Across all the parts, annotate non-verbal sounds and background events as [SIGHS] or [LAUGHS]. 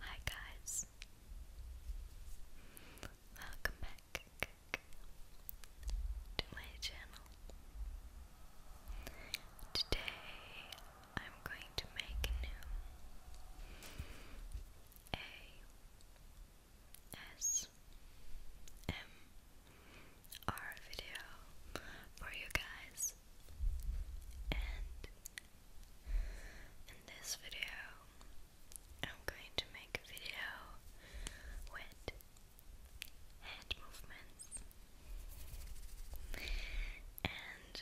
Hi guys. Welcome back to my channel. Today I'm going to make A S M R video for you guys and in this video I'm going to make a video with head movements and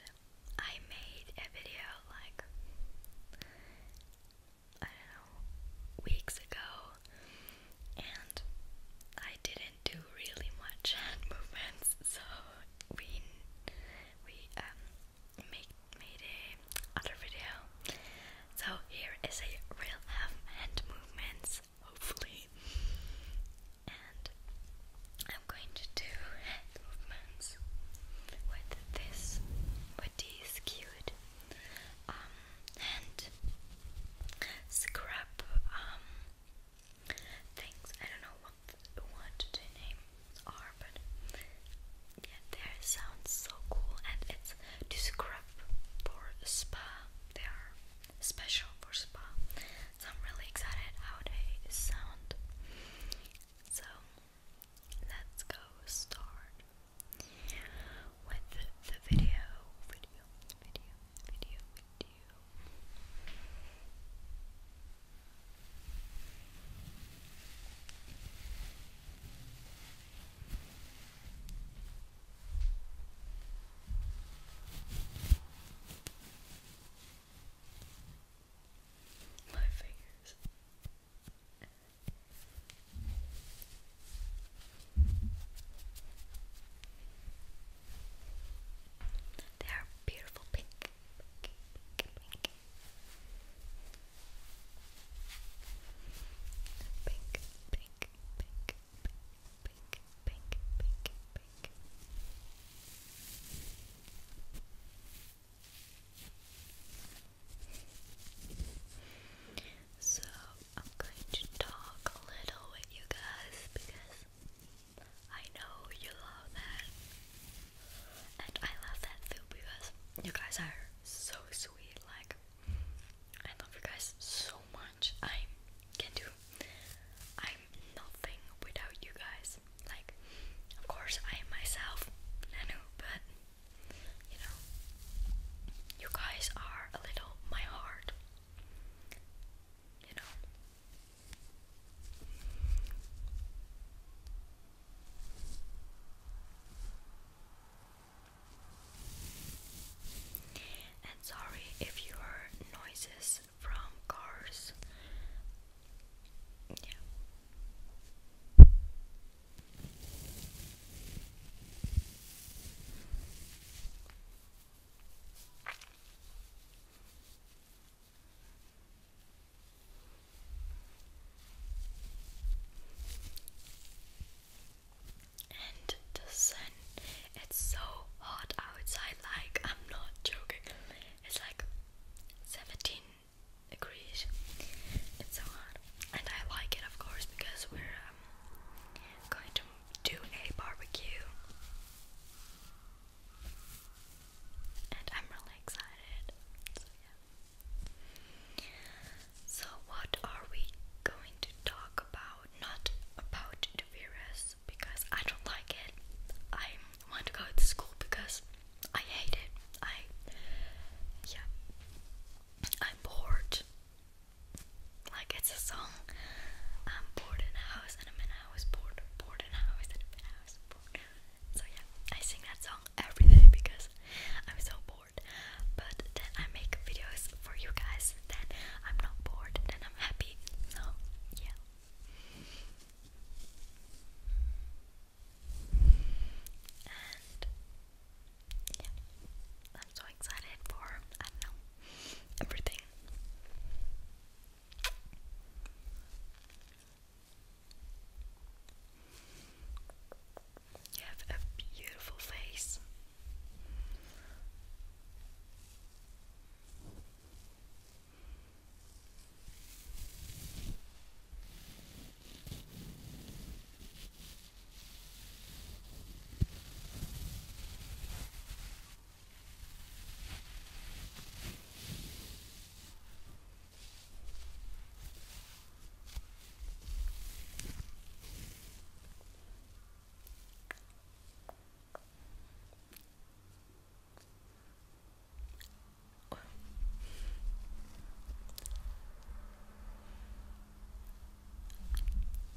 I made a video like I don't know weeks ago and I didn't can do really much hand movements, so we we um, make made other video. So here is a real hand movements, hopefully, and I'm going to do hand movements with this with these cute um hand scrub um things. I don't know what what the names are, but yeah, their sounds so cool, and it's to scrub for spa. They are special for spa, so I'm really excited how they sound. So let's go start with the video, video, video video you. My fingers. They are beautiful pink. pink, pink, pink. Pink, pink, pink, pink, pink, So I'm going to talk a little with you guys because I know you love that. And I love that too because you guys are so sweet. Like, I love you guys so much. I can do. I'm nothing without you guys. Like, of course, I am myself, Nanu, but you know, you guys are a little my heart. You know, and sorry if you hear noises from cars. Yeah. And the sun, it's so hot outside, like I'm not joking. It's like 17 degrees. It's so hot. And I like it, of course, because we're um, going to do a barbecue and I'm really excited. So, yeah. So, what are we going to talk about? Not about the because I don't like it. I want to go to school because I hate it. I, yeah, I'm bored. Like it's a song. I'm bored in a house and I'm in a house bored, bored in a house and I'm in a house bored. So yeah, I sing that song every day because I'm so bored. But then I make videos for you guys. Then I'm not bored. Then I'm happy. So yeah. And I'm so excited for I don't know everything. You have a beautiful face.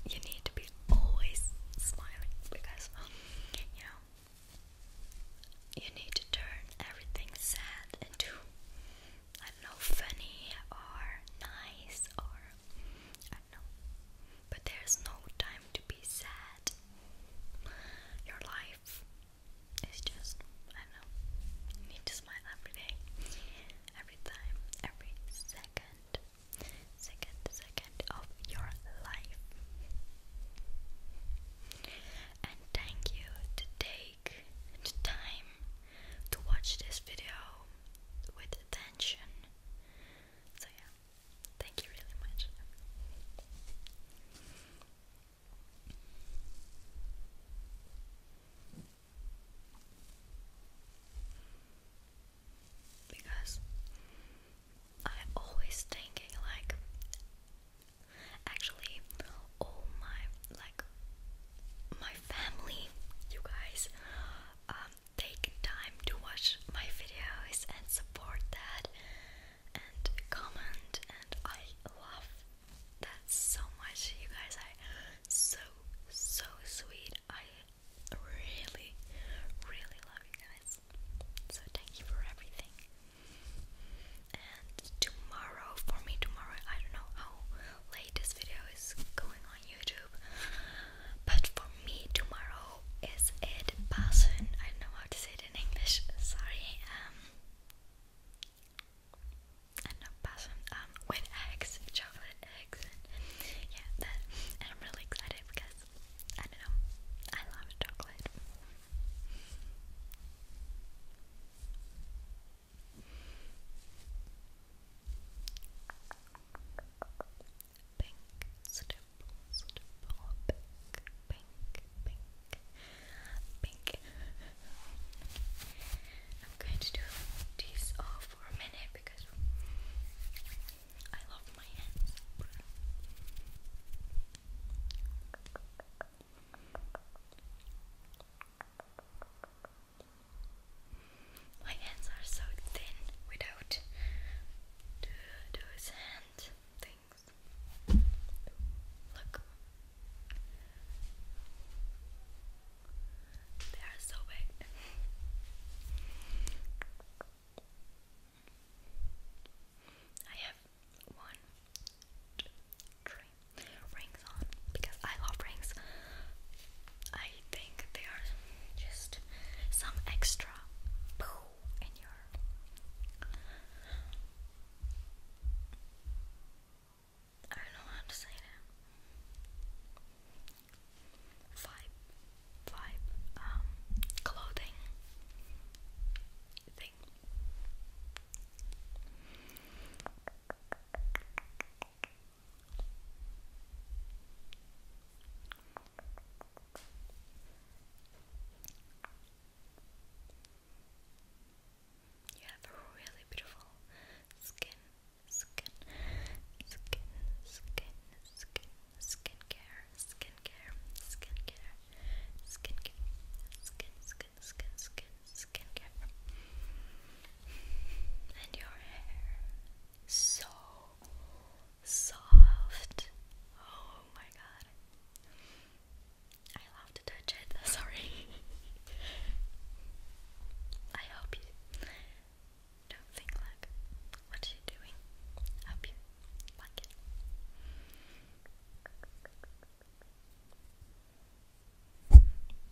You need to be always smiling because, you know, you need to turn everything sad into, I do know, funny or nice or, I know. But there's no time to be sad. Your life is just, I know, need to smile every day, every time, every second second second of your life. And thank you to take the time to watch this video with attention. So yeah, thank you really much. Because I'm always thinking like actually all my like my family you guys um, take time to watch my videos and support that and comment and I love that so much you guys are so so sweet I really, really love you guys. So thank you for everything. And tomorrow, for me tomorrow, I don't know how late this video is going on YouTube, but for me tomorrow is it Pasen. I don't know how to say it in English. Sorry. Um, I uh, not know Um, with eggs, chocolate eggs, and yeah, that. And I'm really excited because I don't know. I love chocolate. Pink stipple, stipple, pink, pink, pink, pink. I'm going to do this all for a minute because I love my hands. My hands are so thin without those hand things. Look. They are so big. I have one, two, three rings on because I love rings. I think they are just some extra poo in your. I don't know how to say that vibe, vibe, um, clothing You have a really beautiful skin, skin, skin, skin, skin, skincare, skincare, skincare, skincare, skin, skin, skin, skin, skincare, and your hair so soft. Oh my god, I love to touch it. [LAUGHS] Sorry. I hope you don't think like what you doing. Hope you like it.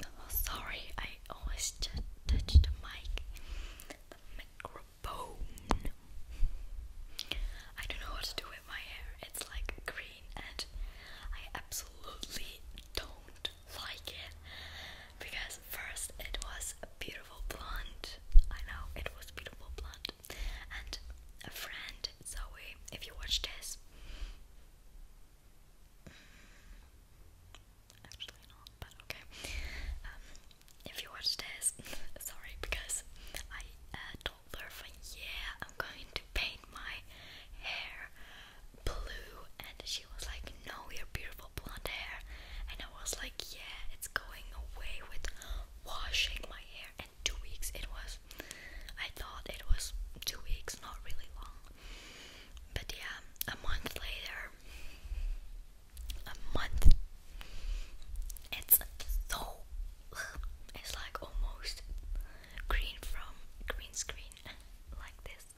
Oh, sorry, I always just touch the mic, the microphone. I don't know what to do with my hair. It's like green, and I absolutely don't like it because first it was a beautiful blonde. I know it was beautiful blonde, and a friend Zoe. If you watch this, mm, actually not, but okay. Um, if you watch this, [LAUGHS] sorry because I uh, told her, "Yeah, I'm going to paint my hair blue," and she was like, No, your beautiful blonde hair. And I was like, Yeah, it's going away with washing my hair. And two weeks it was. I thought it was two weeks, not really long. But yeah, a month later, a month, it's so. It's like almost green from green screen, [LAUGHS] like this.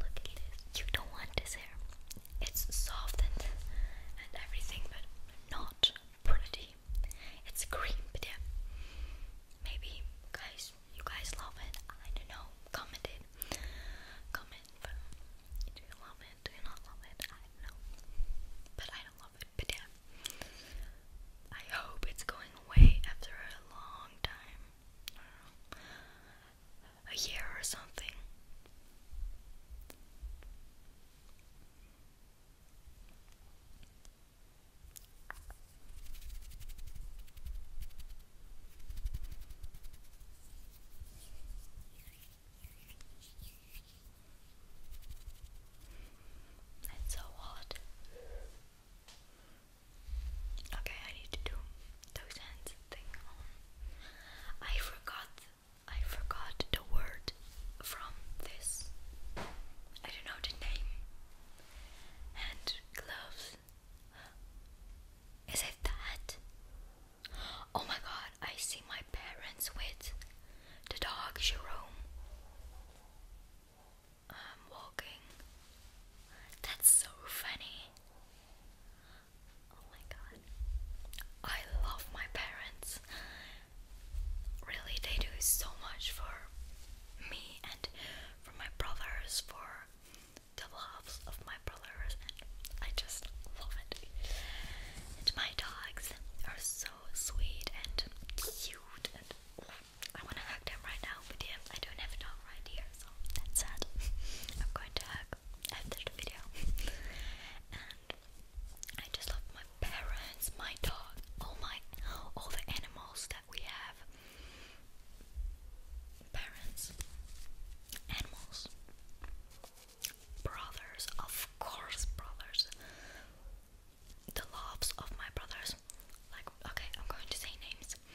Look at this. You don't want this hair. It's soft and, and everything, but not pretty. It's cream, but yeah. Maybe guys, you guys love it. I don't know. Comment it. Comment. But you love it? Do you not love it? I don't know. But I don't love it. But yeah. I hope it's going away after a long time a year or something. It's so hot. Okay, I need to do those hands thing um, I forgot I forgot the word from this. I don't know the name. Hand gloves. Is it that? Oh my god, I see my parents with the dog Jerome. i um, walking. That's so funny. Oh my god. I love my parents. Really, they do so much for me and for my brothers, for the loves of my brothers, I just love it. my dogs are so sweet and cute, I want to hug them right now, but yeah, I don't have a right here, so that's sad. [LAUGHS] I'm going to hug after the video. and I just love my parents, my dog, all my all the animals that we have. Parents, animals, brothers, of course, brothers. The loves of my brothers. Like, okay, I'm going to say names. States.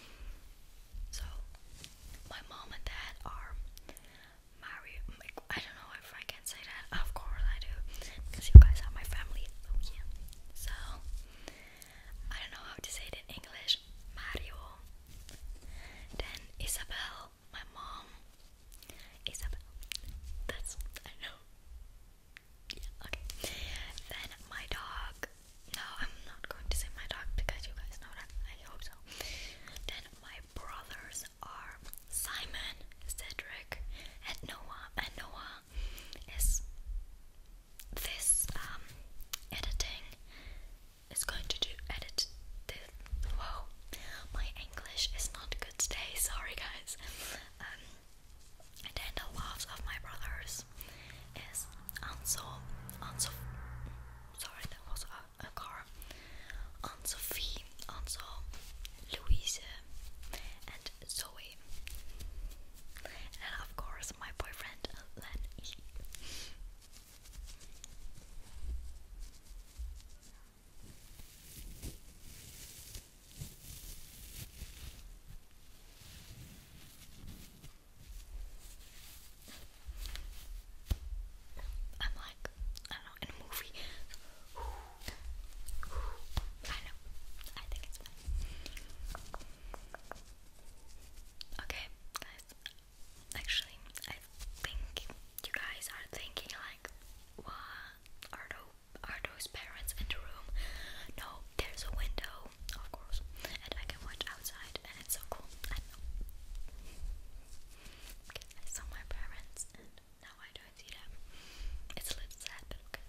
So, my mom and dad are married. I don't know if I can say that. [LAUGHS] Of course I do, because you guys are my family. Oh yeah. So, I don't know how to say it in English. Mario. Then Isabel, my mom. Isabel. That's I know. Yeah. Okay. Then my dog no, I'm not going to say my dog because you guys know that. I hope so. Then my brothers are Simon, Cedric, and Noah. And Noah is this um editing is going to do edit the whoa. My English is not good today, [LAUGHS] sorry guys. Um, and the loves of my brothers is Ansel, Ansel, sorry, that was a, a car. Aunt Sophie, also Louise, and Zoe. And of course, my boyfriend, Len. I'm like, I don't in a movie. [SIGHS] I know. I think it's Okay, guys. Actually, I think you guys are thinking like, what are those, are those parents in the room? No, there's a window, of course, and I can watch outside it's so cool. I Okay, I saw my parents, and now I don't see them. It's a little sad, but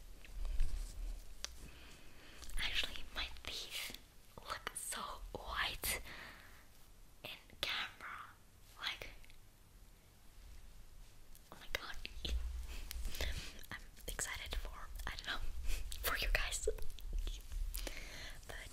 Actually, my teeth look so white in camera. Like, oh my god. [LAUGHS] I'm excited for, I don't know, [LAUGHS] for you guys. but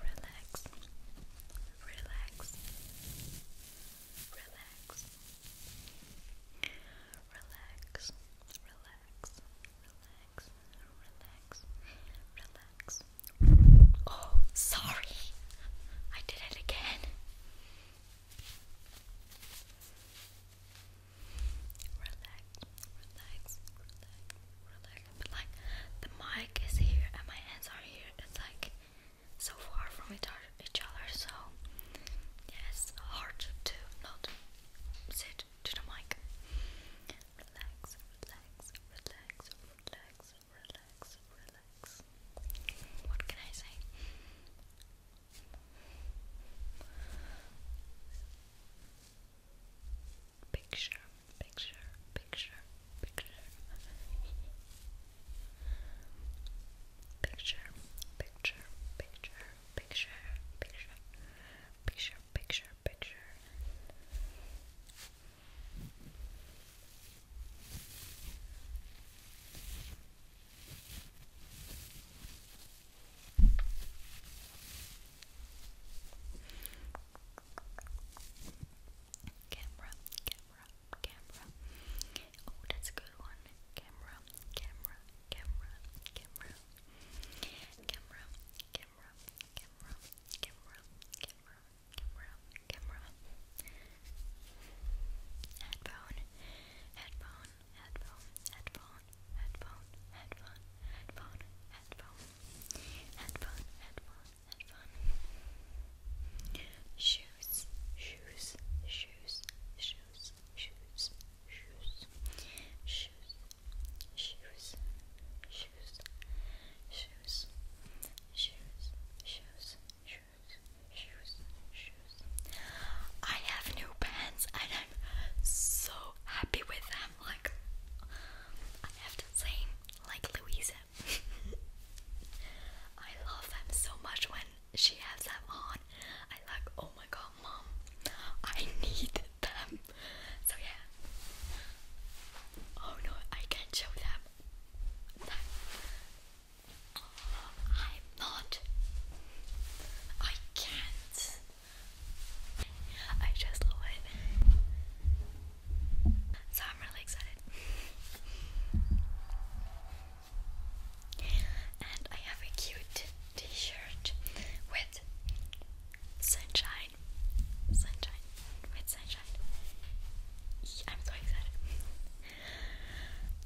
Relax, relax, relax, relax, relax, relax, relax, relax. Oh, sorry, I did it again. Relax, relax, relax, relax, but like the mic is here and my hands are here. It's like so far from each other, so yes, hard to not sit to the mic. Relax, relax, relax, relax, relax, relax. What can I say? Picture, picture, picture, picture. picture, picture, picture, picture, picture, picture, picture, picture. Picture, Camera, camera, camera. Oh, that's a good one. Camera, camera, camera, camera. Camera, camera, camera, camera, camera, camera, camera. Headphone, headphone, headphone, headphone, headphone, headphone, headphone, headphone, headphone, headphone, have fun. Shoes, shoes, shoes, shoes, shoes, shoes, shoes, shoes, shoes, shoes, shoes, shoes, shoes, shoes, shoes. I have new pants and I'm so happy with them. Like I have the same like Louisa. [LAUGHS] I love them so much when she has them on. I like, oh my god, mom, I need them. So yeah. Oh no, I can't show them. I'm not. I can't. I just love it. So I'm really excited. And I have a cute t shirt with sunshine. Sunshine. With sunshine. I'm so excited.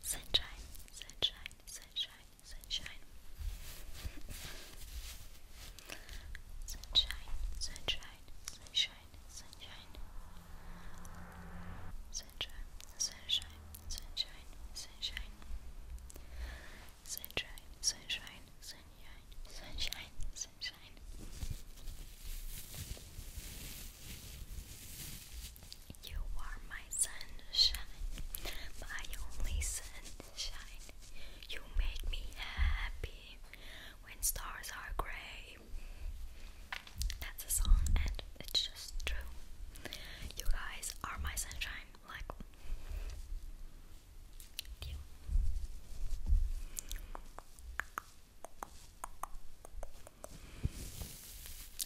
Sunshine, sunshine, sunshine, sunshine. Sunshine, sunshine, sunshine, sunshine. Sunshine, sunshine, sunshine, sunshine. Sunshine, sunshine, sunshine, sunshine, sunshine. You are my sunshine, my only sunshine. You make me happy when Stars Are Grey. That's a song, and it's just true. You guys are my sunshine, like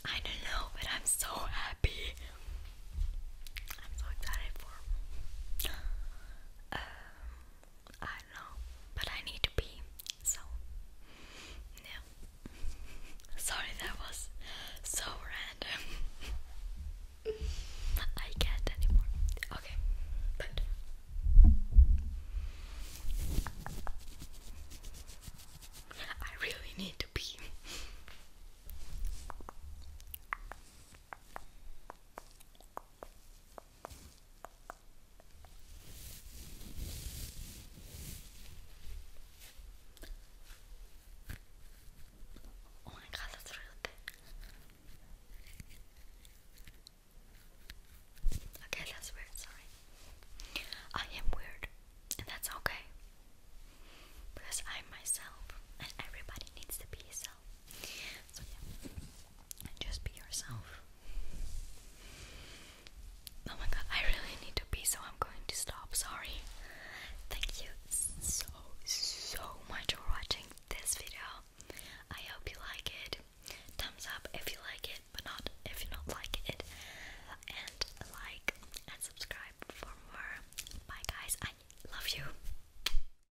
I don't know, but I'm so happy. I'm so excited for uh, I don't know, but I need to pee, so yeah. [LAUGHS] Sorry, that was so random. [LAUGHS] I can't anymore. Okay, but. I really need to pee. Oh my god, that's really Okay, that's weird, sorry. I am weird, and that's okay. Because I'm myself, and everybody needs to be yourself. So yeah, just be yourself. Oh my god, I really need to pee, so I'm going to stop. Sorry. Thank you so so much for watching this video. I hope you like it. Thumbs up if you like it, but not if you don't like it. And like and subscribe for more. Bye guys. I love you.